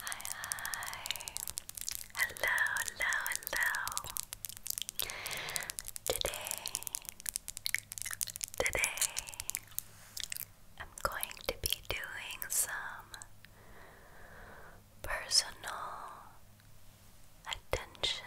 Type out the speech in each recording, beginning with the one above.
Hi, hi. Hello, hello, hello. Today, today, I'm going to be doing some personal attention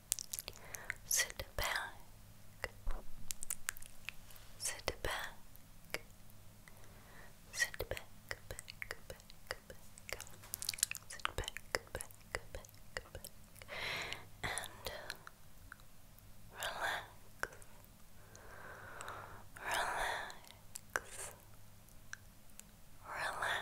Sit back. Sit back. Sit back, back, back, back. Sit back, back, back, back. And uh, relax. Relax. Relax. Relax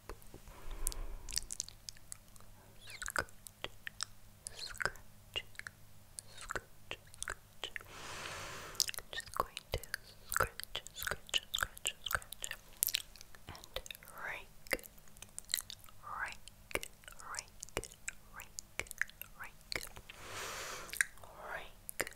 scratch, scratch, scratch. Just going to scratch, scratch, scratch, scratch, and rake, rake, rake, rake, rake, rake,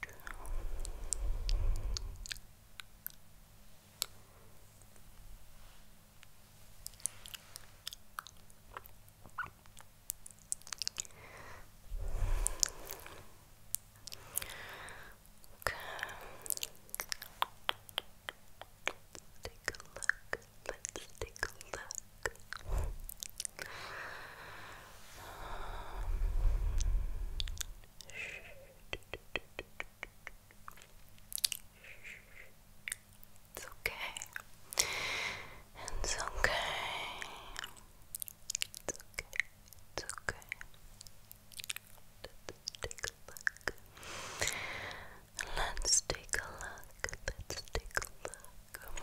Okay. Take a look. Let's take a look. It's okay. It's okay. It's okay. It's okay. Let's take a look. Let's take a look.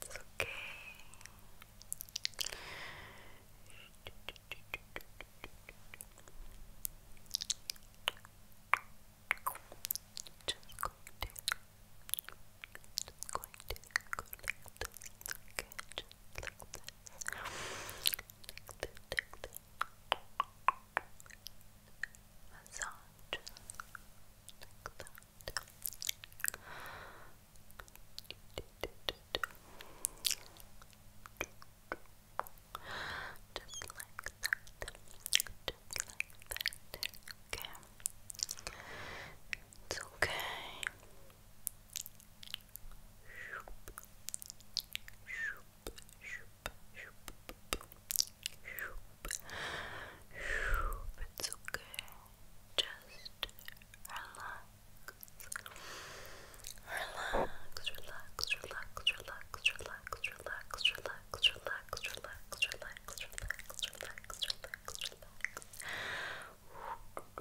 It's okay. Just going to, just going to go like this, okay, just like that. Massage like Just like that. Just like that. Okay. It's okay. It's okay. Just relax. Relax, relax, relax, relax, relax, relax, relax, relax, relax, relax, relax, relax, relax, relax.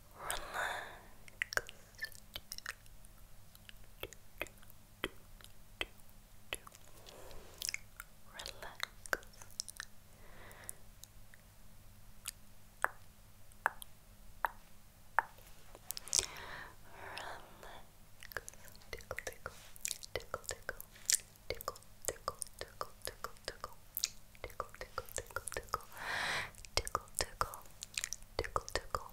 Relax. tickle tickle tickle tickle tickle tickle tickle tickle tickle tickle tickle tickle tickle tickle tickle tickle tickle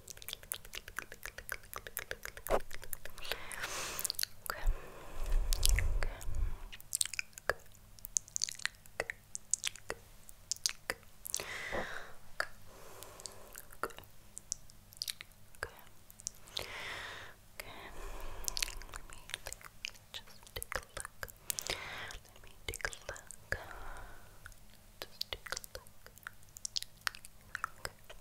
Okay. Okay. Okay. Okay. Okay. Okay. Okay. Okay. Let me just take a look. Let me take a look. Just take a look. Okay.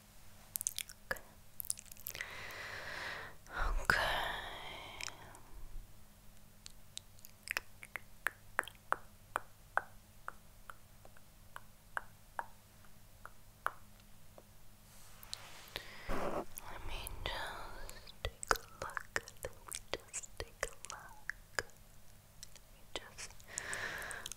Okay. Okay. Let me just take a look. Let me just take a look. just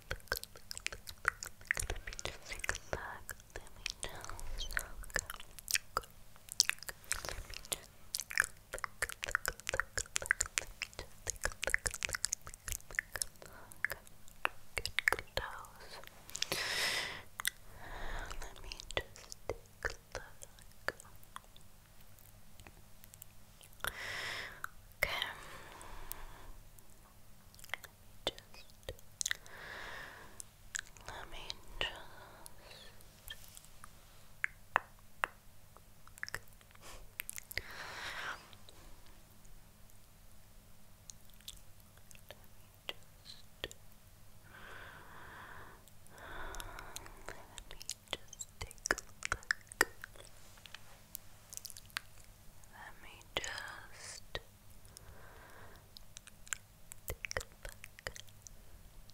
let me just take a look. Let me just look. Let me just look. Let me just take a look. Okay. Okay. Just let me just just let me just take a look. Let me just take a look.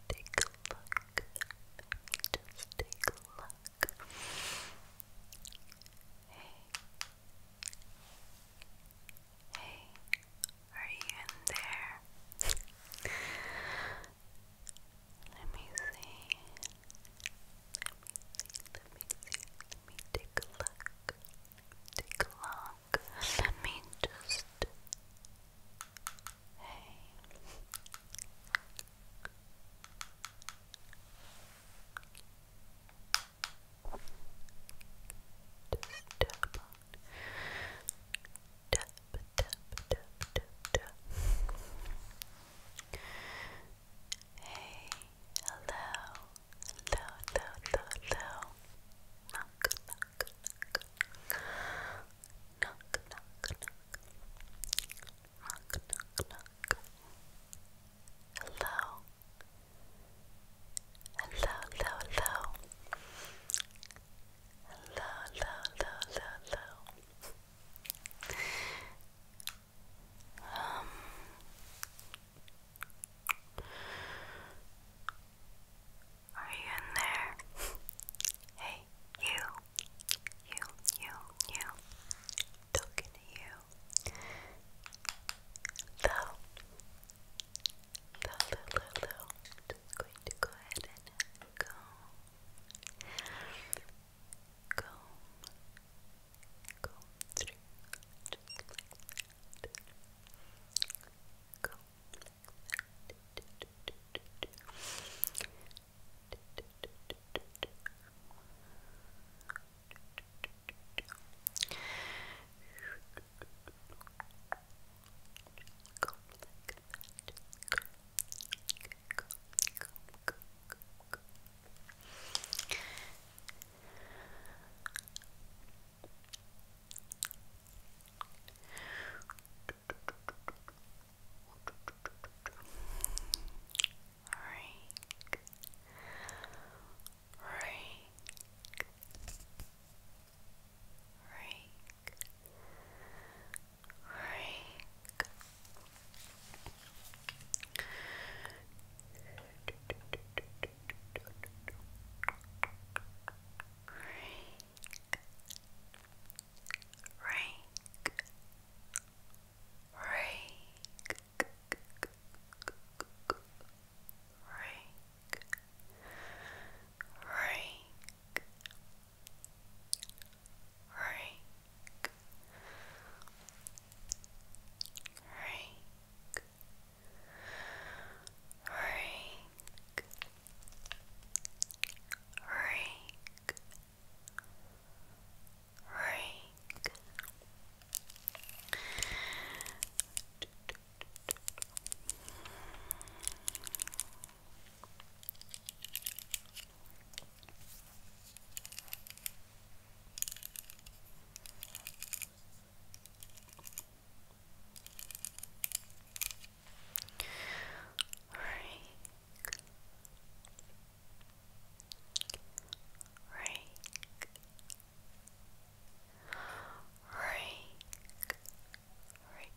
Take a look. just take a look. Hey. Hey. Are you in there? Let me see let me see, let me take a look, take a look, let me just, hey, Hey, hello, hello, hello, hello, hello. Knock, knock, knock. Knock, knock, knock. Knock, Hello. Hello, hello, hello. Hello, hello, hello, hello, hello. Um, are you in there? hey, you, you, you, you. Talking to you. Hello. Hello, hello, hello. just going to go ahead and go comb, comb through, just like that. Comb like that. Go like that. Go, go, go, go, go, go, Rake. Rake. Rake. Rake. Rake. Rake. Rake. Rake. Rake rake, rake, rake, rake. Rake, Rake. Rake. Rake. Rake.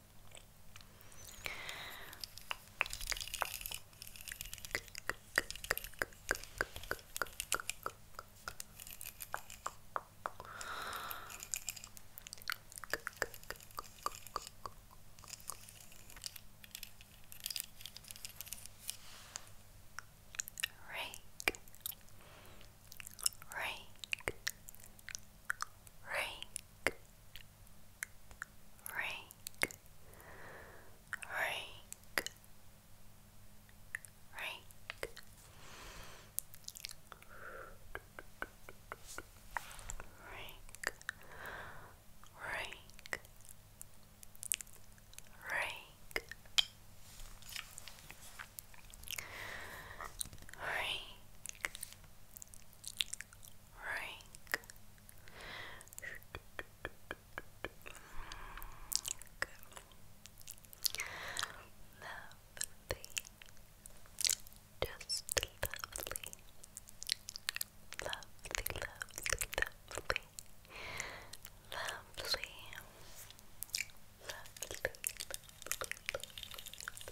Rake, rake, rake, rake, rake, rake. Rake, rake, rake, rake, Rank. Lovely. Just lovely, lovely. Lovely. Lovely, lovely, lovely.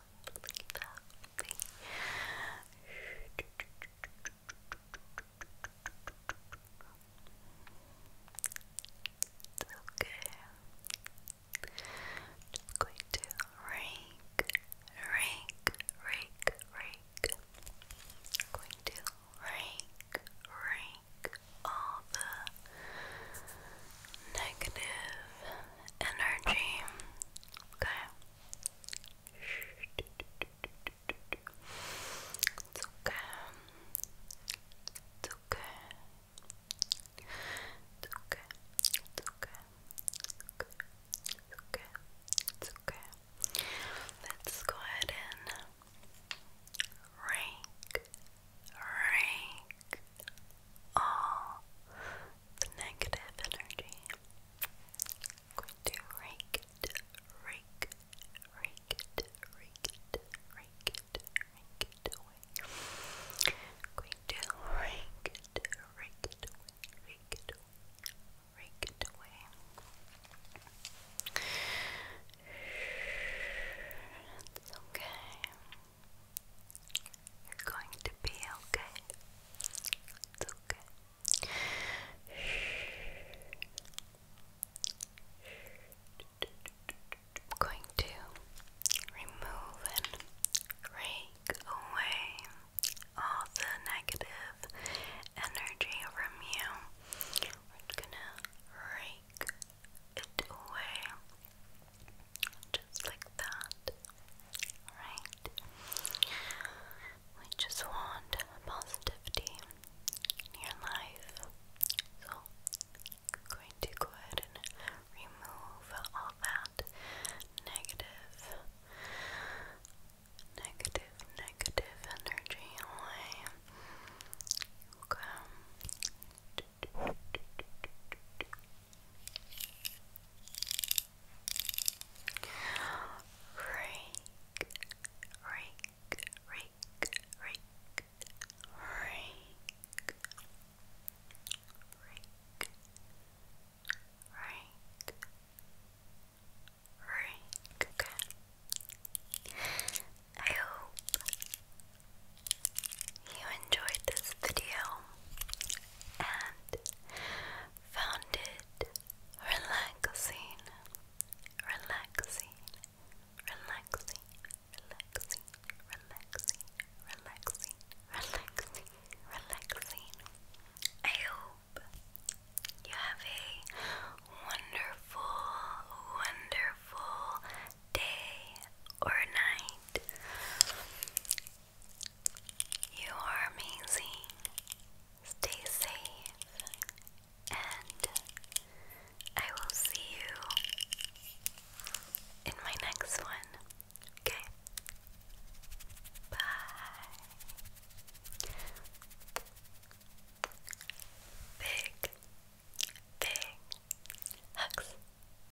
lovely, lovely. Okay. Just going to rake, rake, rake, rake. going to rake, rake all the negative energy. Okay. It's okay. It's okay. It's okay. It's okay. It's okay. Let's go ahead and rank rake all the negative energy. going to rake it, rake, rake it, rake it, rake it, rake it away. going to rake it, rake it rake it rake it away. It's okay. You're going to be okay. It's okay. I'm going to remove and rake away all the negative energy from you. We're gonna rake it away just like that. Alright? We just want positivity in your life. So, going to go ahead and remove all that negative, negative, negative energy away. Okay. Rake, rake, rake, rake, rake, rake, rake, rake. Okay. I hope you enjoyed this video and found it relaxing, relaxing, relaxing, relaxing, relaxing, relaxing, relaxing, relaxing. I hope you have a wonderful, wonderful day or night. You are amazing. Stay safe, and I will see you in my next one. Okay? Bye. Big, big hugs.